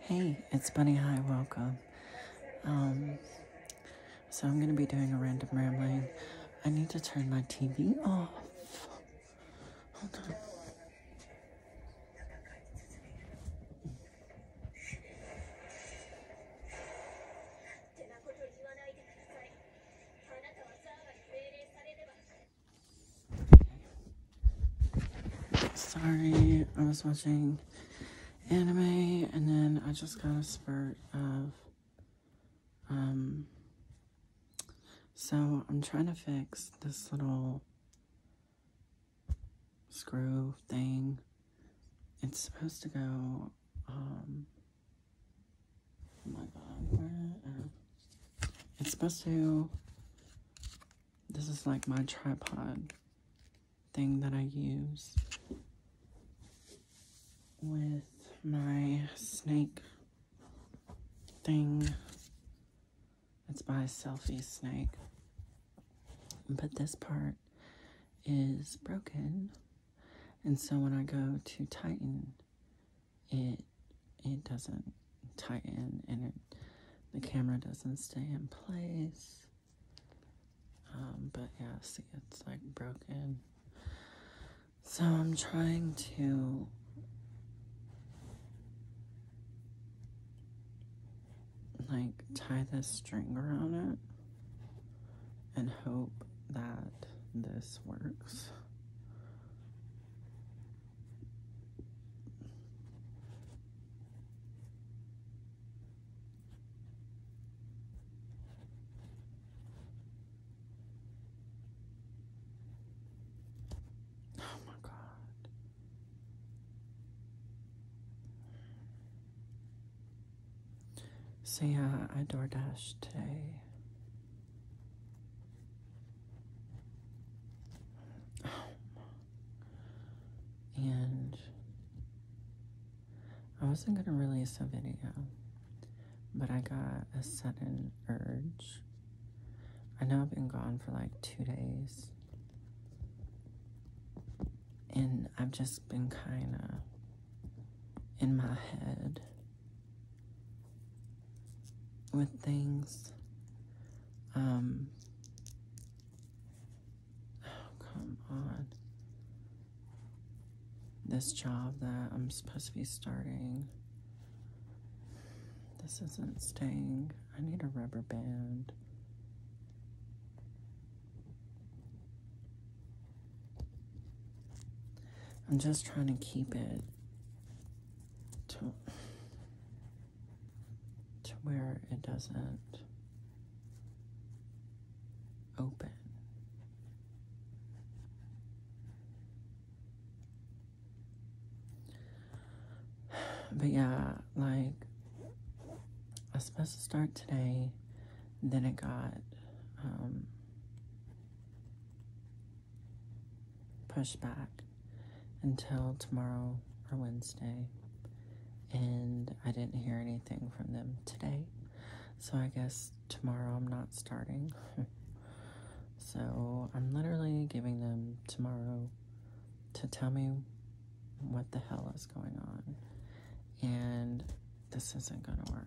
Hey, it's Bunny High. Welcome. Um, so I'm gonna be doing a random rambling. I need to turn my TV off. Sorry, I was watching anime and then I just got a spurt of, um, so I'm trying to fix this little screw thing. It's supposed to go, um, oh my god, uh, it's supposed to this is like my tripod thing that I use with my snake thing. It's by Selfie Snake. But this part is broken. And so when I go to tighten it, it doesn't Tighten, and the camera doesn't stay in place. Um, but yeah, see, it's like broken. So I'm trying to like tie this string around it and hope that this works. Oh my God. So yeah, I door today. Oh and I wasn't going to release a video, but I got a sudden urge. I know I've been gone for like two days, and I've just been kind of in my head with things. Um, oh, come on. This job that I'm supposed to be starting. This isn't staying. I need a rubber band. I'm just trying to keep it to where it doesn't open. But yeah, like, I was supposed to start today, then it got, um, push back until tomorrow or Wednesday. And I didn't hear anything from them today. So I guess tomorrow I'm not starting. so I'm literally giving them tomorrow to tell me what the hell is going on. And this isn't going to work.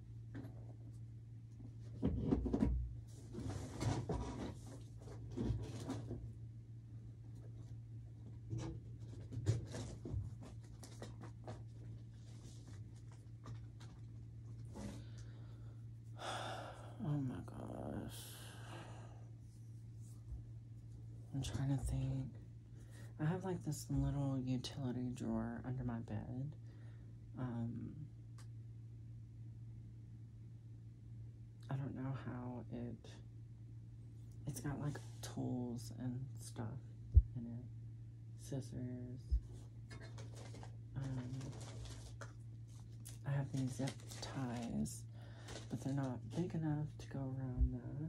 Oh I'm trying to think. I have like this little utility drawer under my bed. Um, I don't know how it, it's got like tools and stuff in it, scissors. Um, I have these zip ties, but they're not big enough to go around that.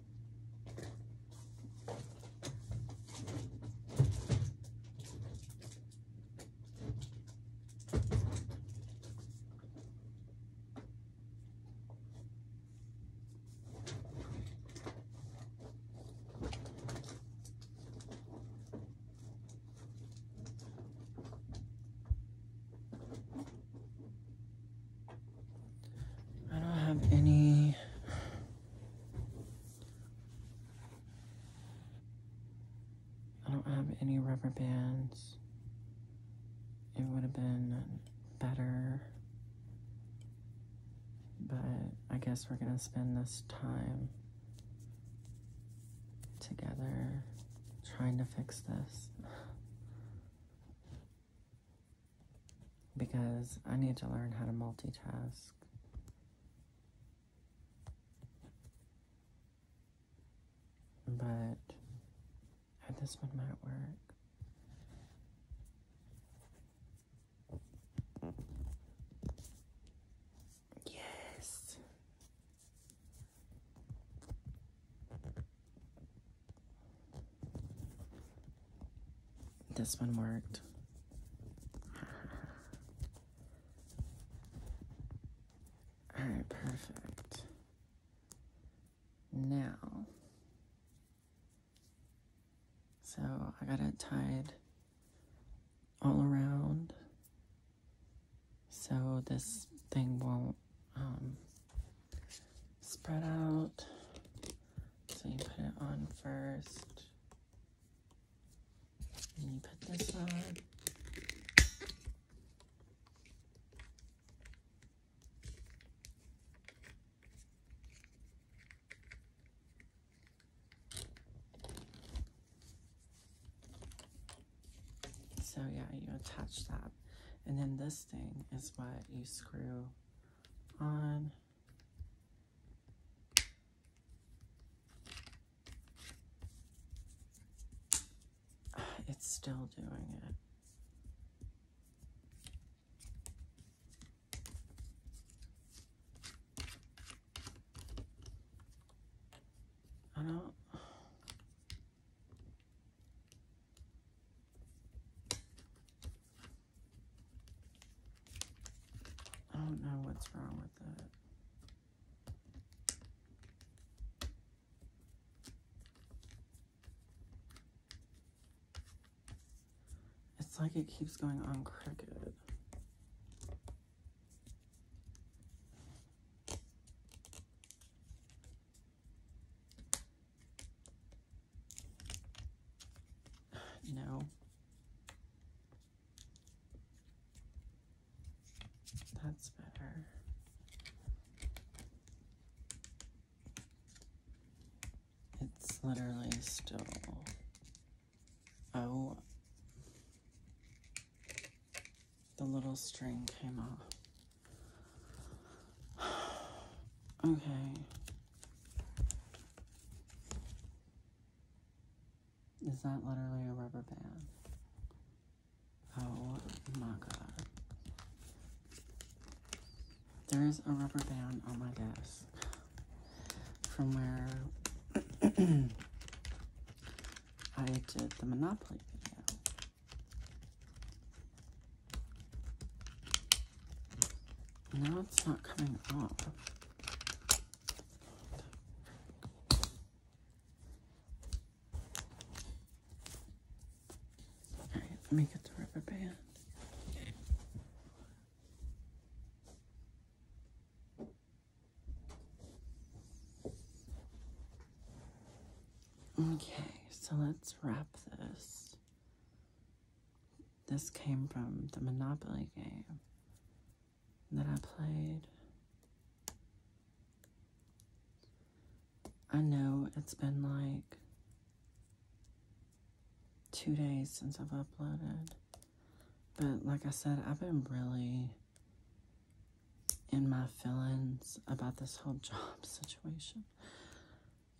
I don't have any I don't have any rubber bands. It would have been better. But I guess we're going to spend this time together trying to fix this because I need to learn how to multitask. But this one might work. Yes. This one worked. All right, perfect. Now, so I got it tied all around so this thing won't um, spread out. So you put it on first. And you put this on. So yeah, you attach that. And then this thing is what you screw on It's still doing it. I don't... I don't know what's wrong with that. It's like it keeps going on cricket. No. That's better. It's literally still... Oh. The little string came off. okay. Is that literally a rubber band? Oh my god. There is a rubber band on my desk from where I did the Monopoly video. Now it's not coming up. let me get the rubber band. Okay, so let's wrap this. This came from the Monopoly game that I played. I know it's been like two days since I've uploaded, but like I said, I've been really in my feelings about this whole job situation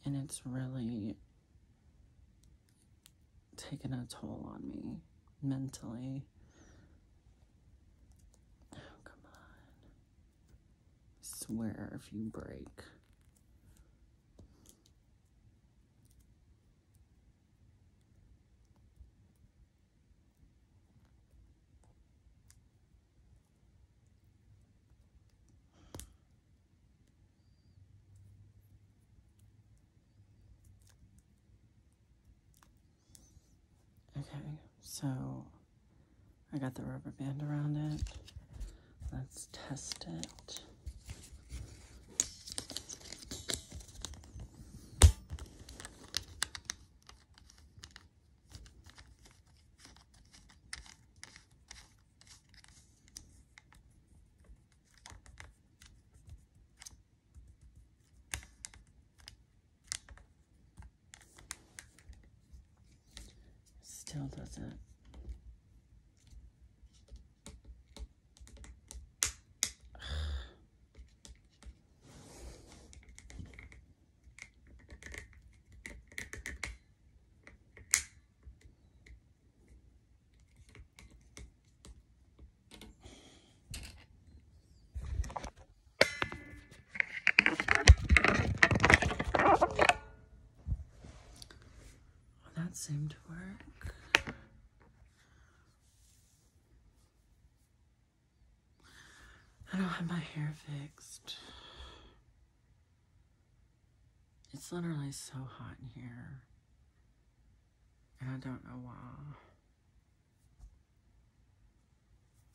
and it's really taken a toll on me mentally. Oh, come on. swear if you break. Okay, so I got the rubber band around it. Let's test it. Still doesn't that seemed to work. I don't have my hair fixed. It's literally so hot in here. And I don't know why.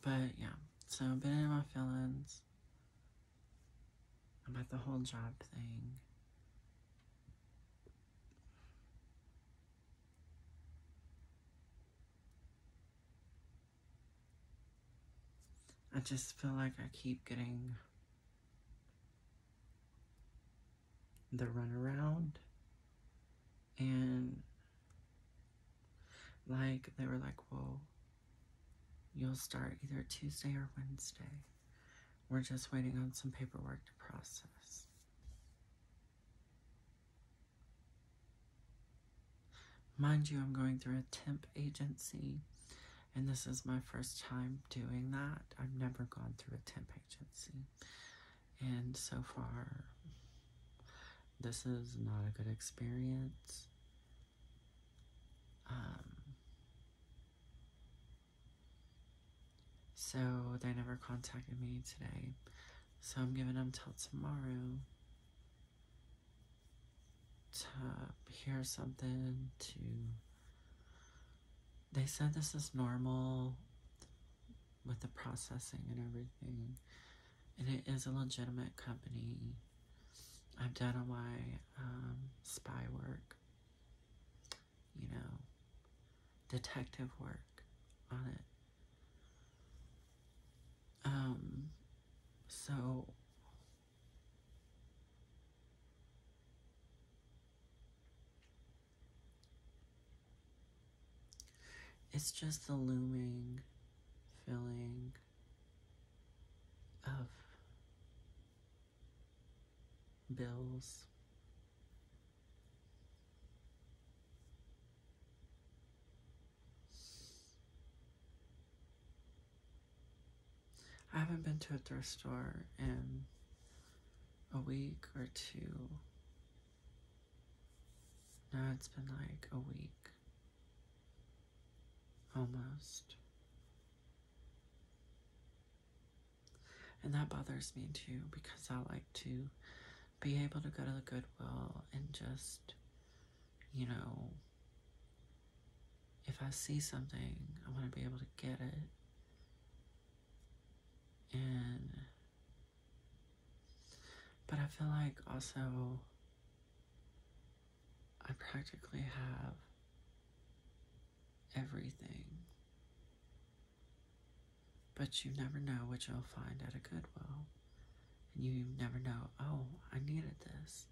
But yeah, so I've been in my feelings about the whole job thing. I just feel like I keep getting the runaround and like they were like well you'll start either tuesday or wednesday we're just waiting on some paperwork to process mind you i'm going through a temp agency and this is my first time doing that. I've never gone through a temp agency, and so far, this is not a good experience. Um, so they never contacted me today, so I'm giving them till tomorrow to hear something to they said this is normal with the processing and everything and it is a legitimate company i've done a lot um, spy work you know detective work on it um so it's just the looming feeling of bills. I haven't been to a thrift store in a week or two. Now it's been like a week. Almost. And that bothers me too because I like to be able to go to the Goodwill and just, you know, if I see something, I want to be able to get it. And, but I feel like also I practically have everything. But you never know what you'll find at a Goodwill. And you never know, oh, I needed this.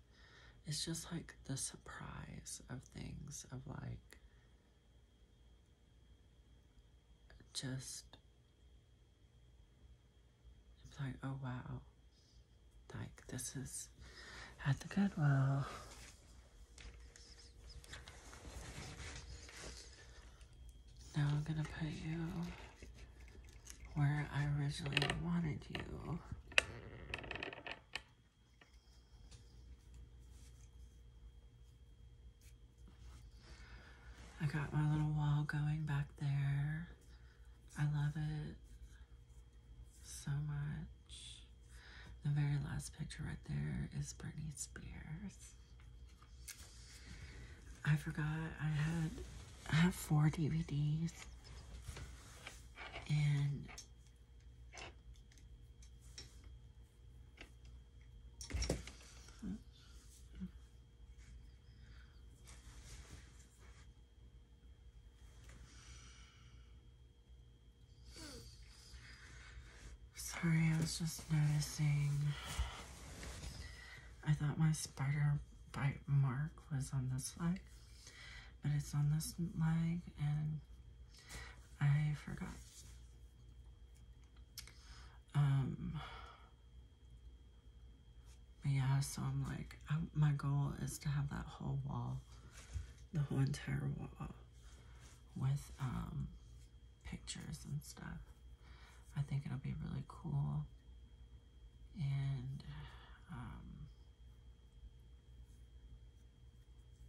It's just like the surprise of things, of like just it's like, oh wow, like this is at the Goodwill. Now I'm gonna put you where I originally wanted you. I got my little wall going back there. I love it so much. The very last picture right there is Britney Spears. I forgot I had I have four DVDs and Sorry, I was just noticing. I thought my spider bite mark was on this leg, but it's on this leg and I forgot. Um, yeah, so I'm like, my goal is to have that whole wall, the whole entire wall with um, pictures and stuff. I think it'll be really cool. And um,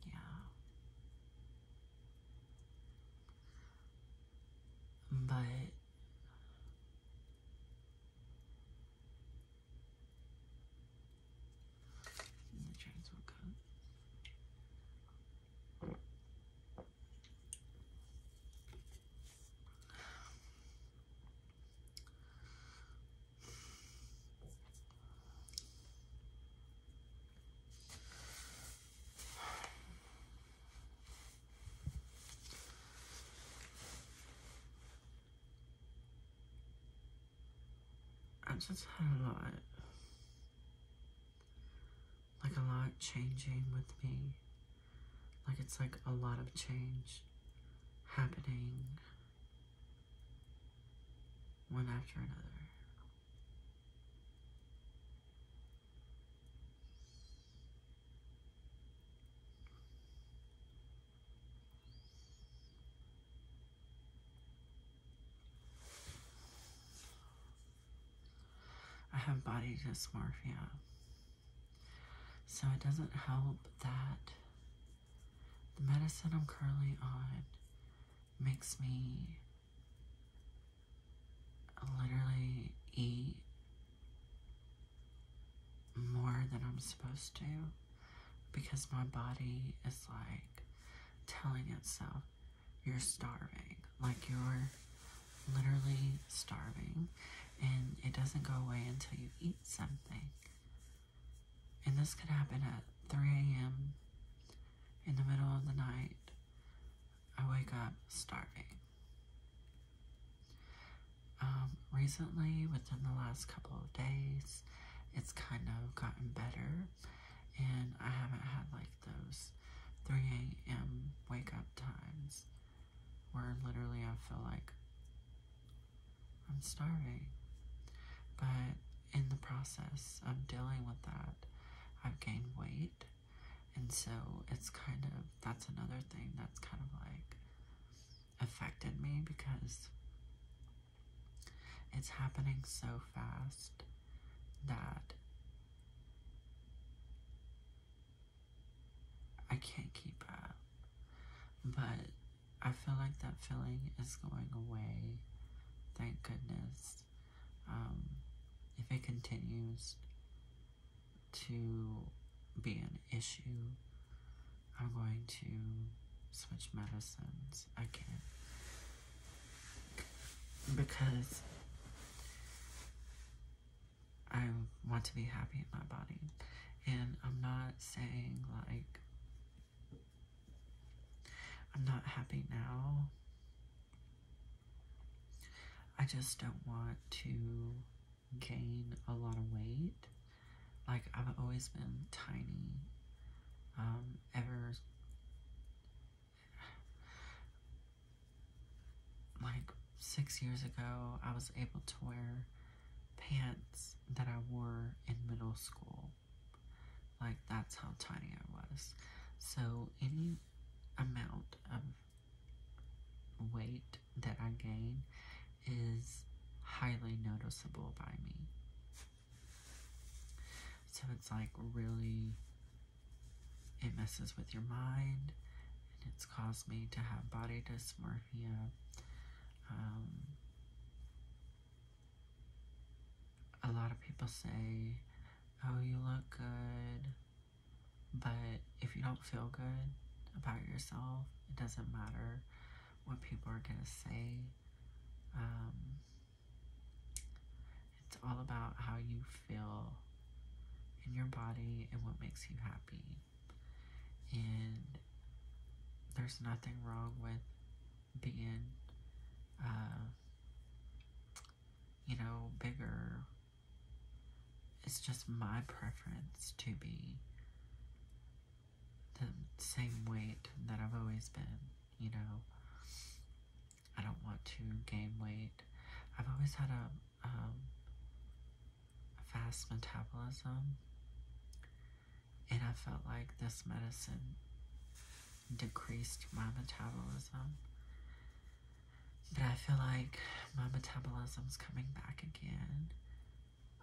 yeah. But the trains will come. I just had a lot, like a lot changing with me. Like it's like a lot of change happening one after another. I have body dysmorphia, so it doesn't help that the medicine I'm currently on makes me literally eat more than I'm supposed to because my body is like telling itself, you're starving. Like you're literally starving and it doesn't go away until you eat something. And this could happen at 3 a.m. in the middle of the night. I wake up starving. Um, recently, within the last couple of days, it's kind of gotten better, and I haven't had like those 3 a.m. wake up times where literally I feel like I'm starving. But in the process of dealing with that, I've gained weight. And so it's kind of, that's another thing that's kind of like affected me because it's happening so fast that I can't keep up. But I feel like that feeling is going away. Thank goodness. Um, if it continues to be an issue, I'm going to switch medicines. I can't. Because I want to be happy in my body. And I'm not saying like I'm not happy now. I just don't want to gain a lot of weight. Like, I've always been tiny. Um, ever. Like, six years ago, I was able to wear pants that I wore in middle school. Like, that's how tiny I was. So, any amount of weight that I gain is highly noticeable by me. So, it's like really, it messes with your mind, and it's caused me to have body dysmorphia. Um, a lot of people say, oh, you look good, but if you don't feel good about yourself, it doesn't matter what people are going to say. Um, it's all about how you feel in your body and what makes you happy and there's nothing wrong with being, uh, you know, bigger. It's just my preference to be the same weight that I've always been, you know. I don't want to gain weight. I've always had a um, fast metabolism. And I felt like this medicine decreased my metabolism. But I feel like my metabolism's coming back again.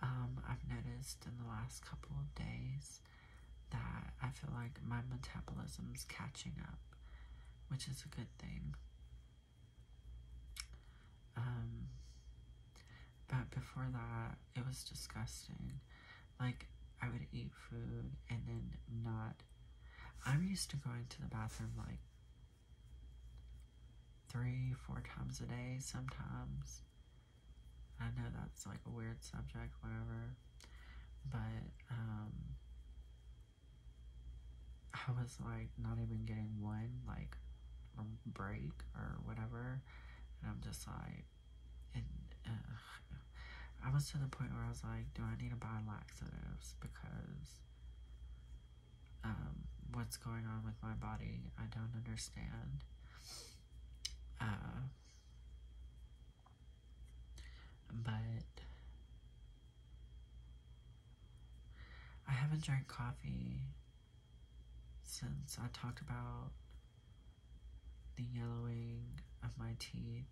Um, I've noticed in the last couple of days that I feel like my metabolism's catching up, which is a good thing. Um, but before that, it was disgusting. Like, I would eat food and then not. I'm used to going to the bathroom like three, four times a day sometimes. I know that's like a weird subject, whatever. But, um, I was like not even getting one. Like, break or whatever. And I'm just like, I was to the point where I was like, do I need to buy laxatives? Because um, what's going on with my body, I don't understand. Uh, but I haven't drank coffee since I talked about the yellowing of my teeth,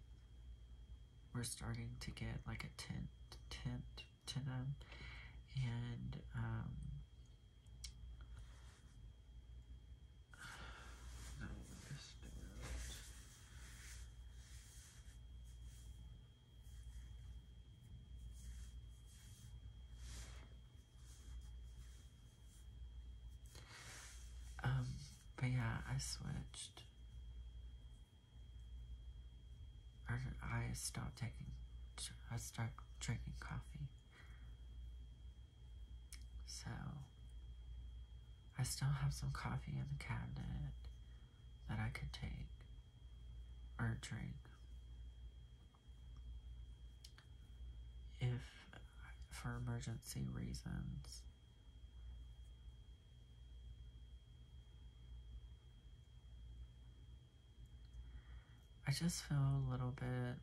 we're starting to get like a tint, tint to them, and um, Um, yeah, I switched. I, I stopped taking, I stopped drinking coffee. So, I still have some coffee in the cabinet that I could take or drink if for emergency reasons. I just feel a little bit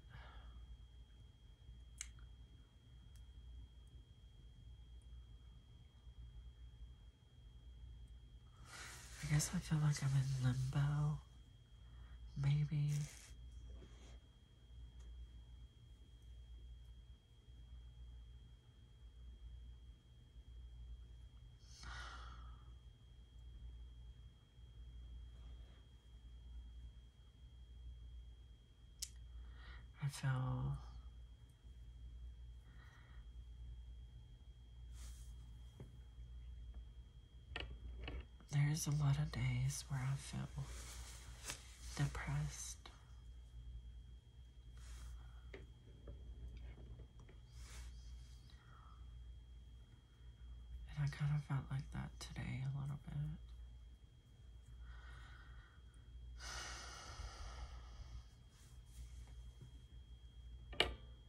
I guess I feel like I'm in limbo maybe I feel there's a lot of days where I feel depressed. And I kind of felt like that today a little bit.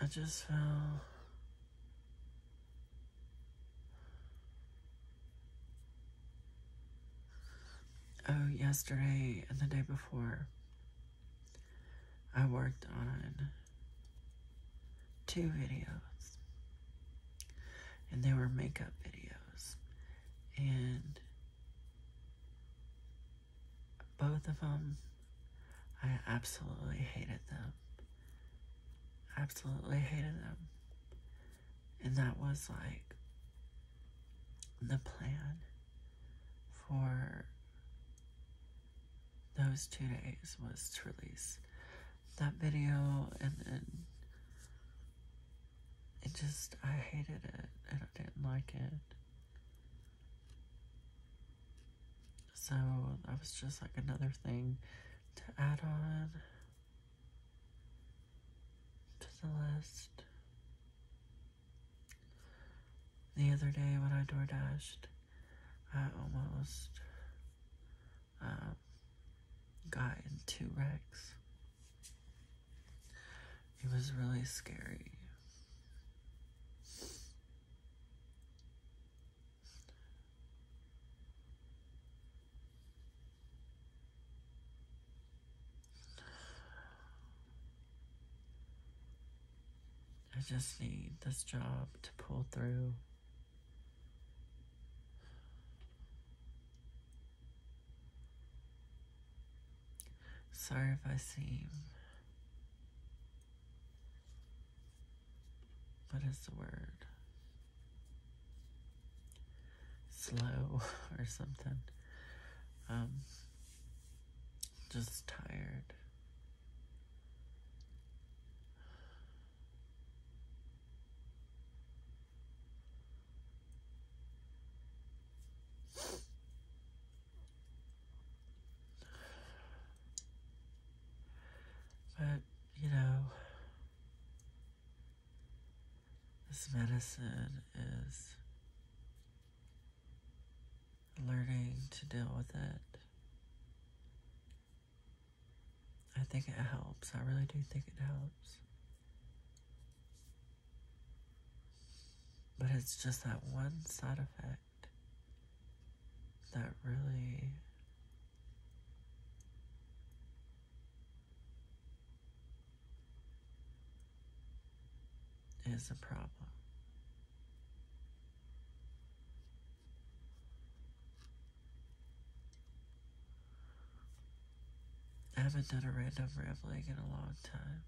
I just felt Oh, yesterday and the day before, I worked on two videos, and they were makeup videos, and both of them, I absolutely hated them. Absolutely hated them. And that was like the plan for those two days was to release that video and then it just I hated it and I didn't like it so that was just like another thing to add on to the list the other day when I door dashed, I almost um, got into wrecks. It was really scary. I just need this job to pull through. Sorry if I seem, what is the word? Slow or something. Um, just tired. But, you know, this medicine is learning to deal with it. I think it helps. I really do think it helps. But it's just that one side effect that really is a problem. I haven't done a random rev in a long time.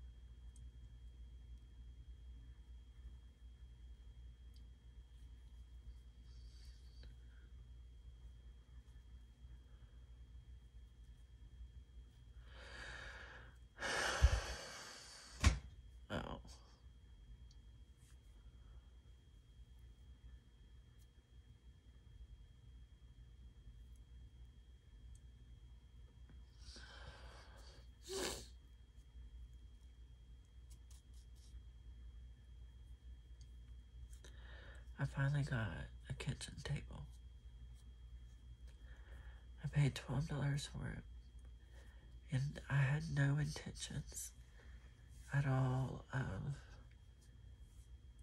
Oh. I finally got a kitchen table. I paid $12 for it. And I had no intentions at all of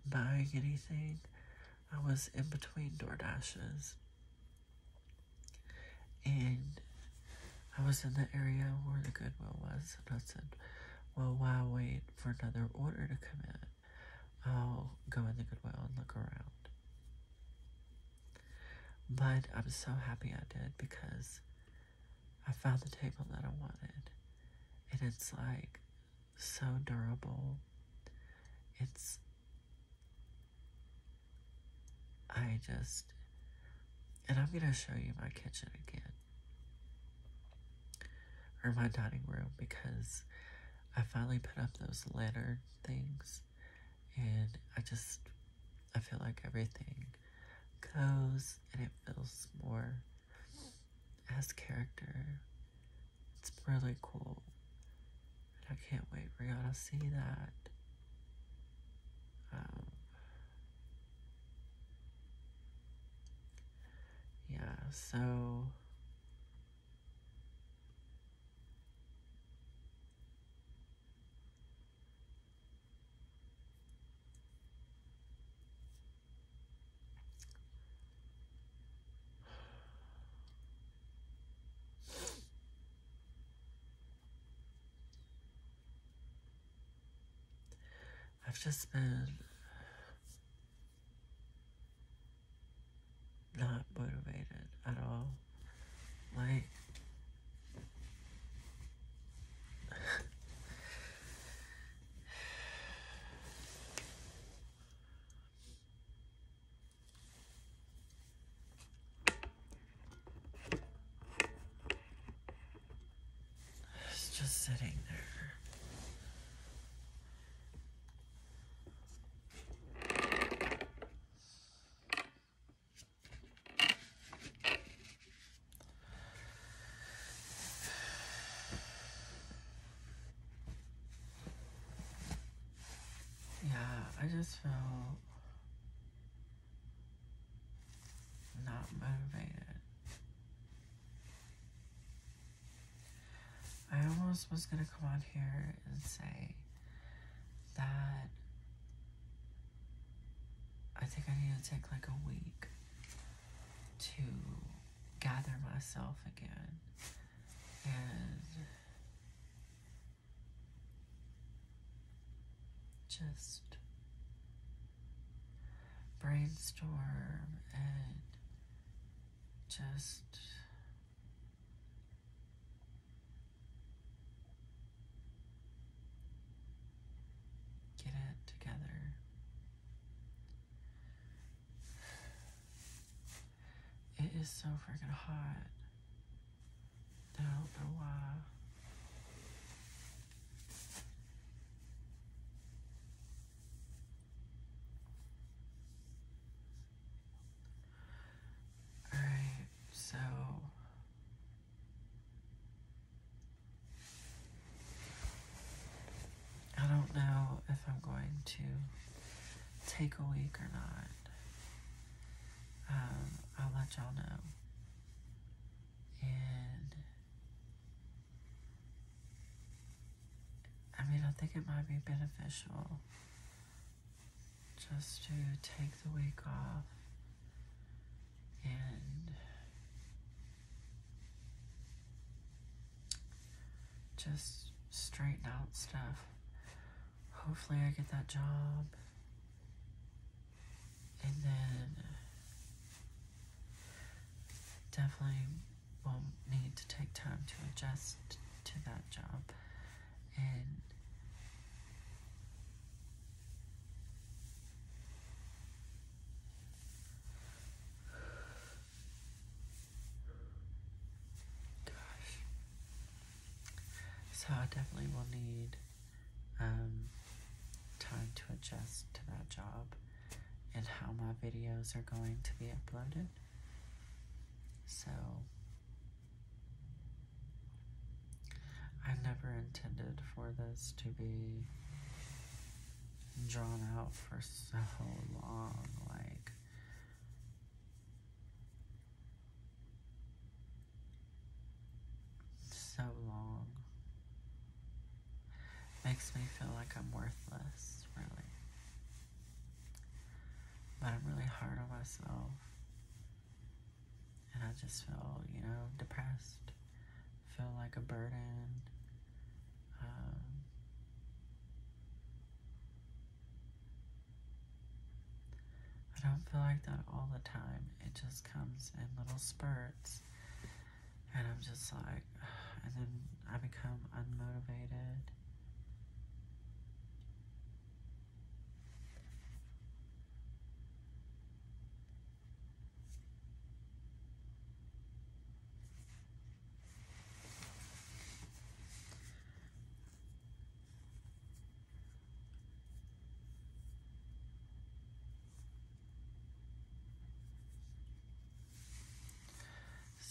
buying anything. I was in between DoorDashes. And I was in the area where the Goodwill was. And I said, well, while I wait for another order to come in? I'll go in the Goodwill and look around. But I'm so happy I did because I found the table that I wanted. And it's like so durable. It's. I just. And I'm going to show you my kitchen again. Or my dining room because I finally put up those lantern things and I just I feel like everything goes and it feels more has character. It's really cool. And I can't wait for y'all to see that. Um, yeah, so I've just been not motivated at all. Like, it's just sitting there. Yeah, I just felt not motivated. I almost was going to come on here and say that I think I need to take like a week to gather myself again and just brainstorm and just Get it together. It is so freaking hot. I don't know why. All right, so I don't know if I'm going to take a week or not. Um, I'll let y'all know. And I mean, I think it might be beneficial just to take the week off and just straighten out stuff. Hopefully I get that job. And then definitely will need to take time to adjust to that job gosh so I definitely will need um, time to adjust to that job and how my videos are going to be uploaded so I never intended for this to be drawn out for so long. Like, so long. Makes me feel like I'm worthless, really. But I'm really hard on myself. And I just feel, you know, depressed. Feel like a burden. Um, I don't feel like that all the time. It just comes in little spurts. And I'm just like, and then I become unmotivated.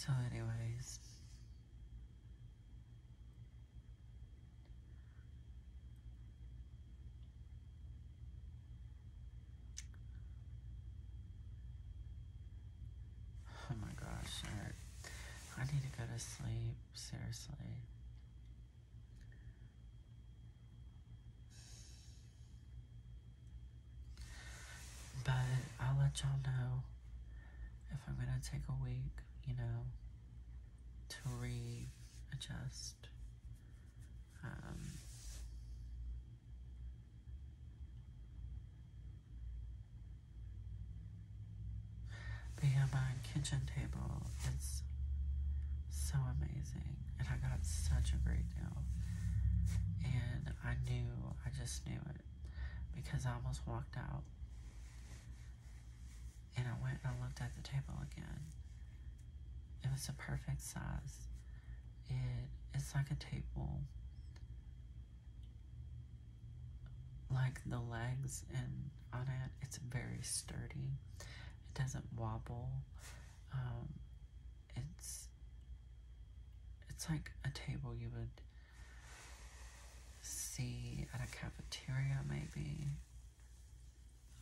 So anyways, Oh my gosh, I need to go to sleep, seriously. But I'll let y'all know if I'm gonna take a week, you know, to readjust. Um, but yeah, my kitchen table is so amazing, and I got such a great deal. And I knew, I just knew it because I almost walked out and I went and I looked at the table again. It was the perfect size. It it's like a table. Like the legs and on it, it's very sturdy. It doesn't wobble. Um, it's it's like a table you would see at a cafeteria maybe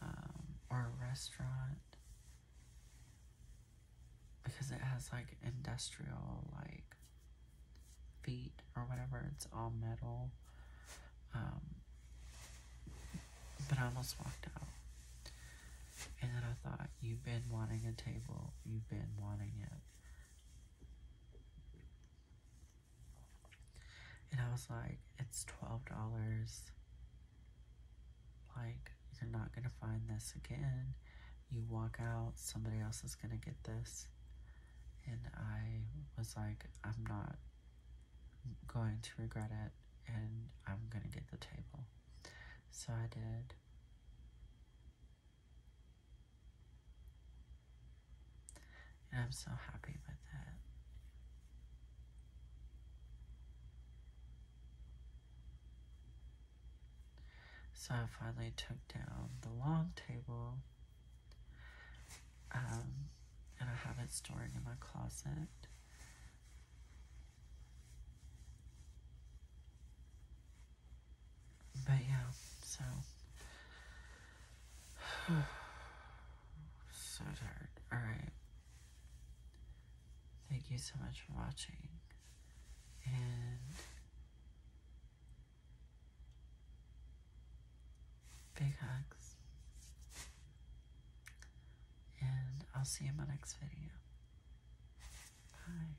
um, or a restaurant because it has like industrial like feet or whatever it's all metal um, but I almost walked out and then I thought you've been wanting a table you've been wanting it and I was like, it's $12. Like, you're not going to find this again. You walk out, somebody else is going to get this. And I was like, I'm not going to regret it. And I'm going to get the table. So I did. And I'm so happy with that. So I finally took down the long table. Um, and I have it stored in my closet. But yeah, so. so tired. Alright. Thank you so much for watching. And. Big hugs. And I'll see you in my next video. Bye.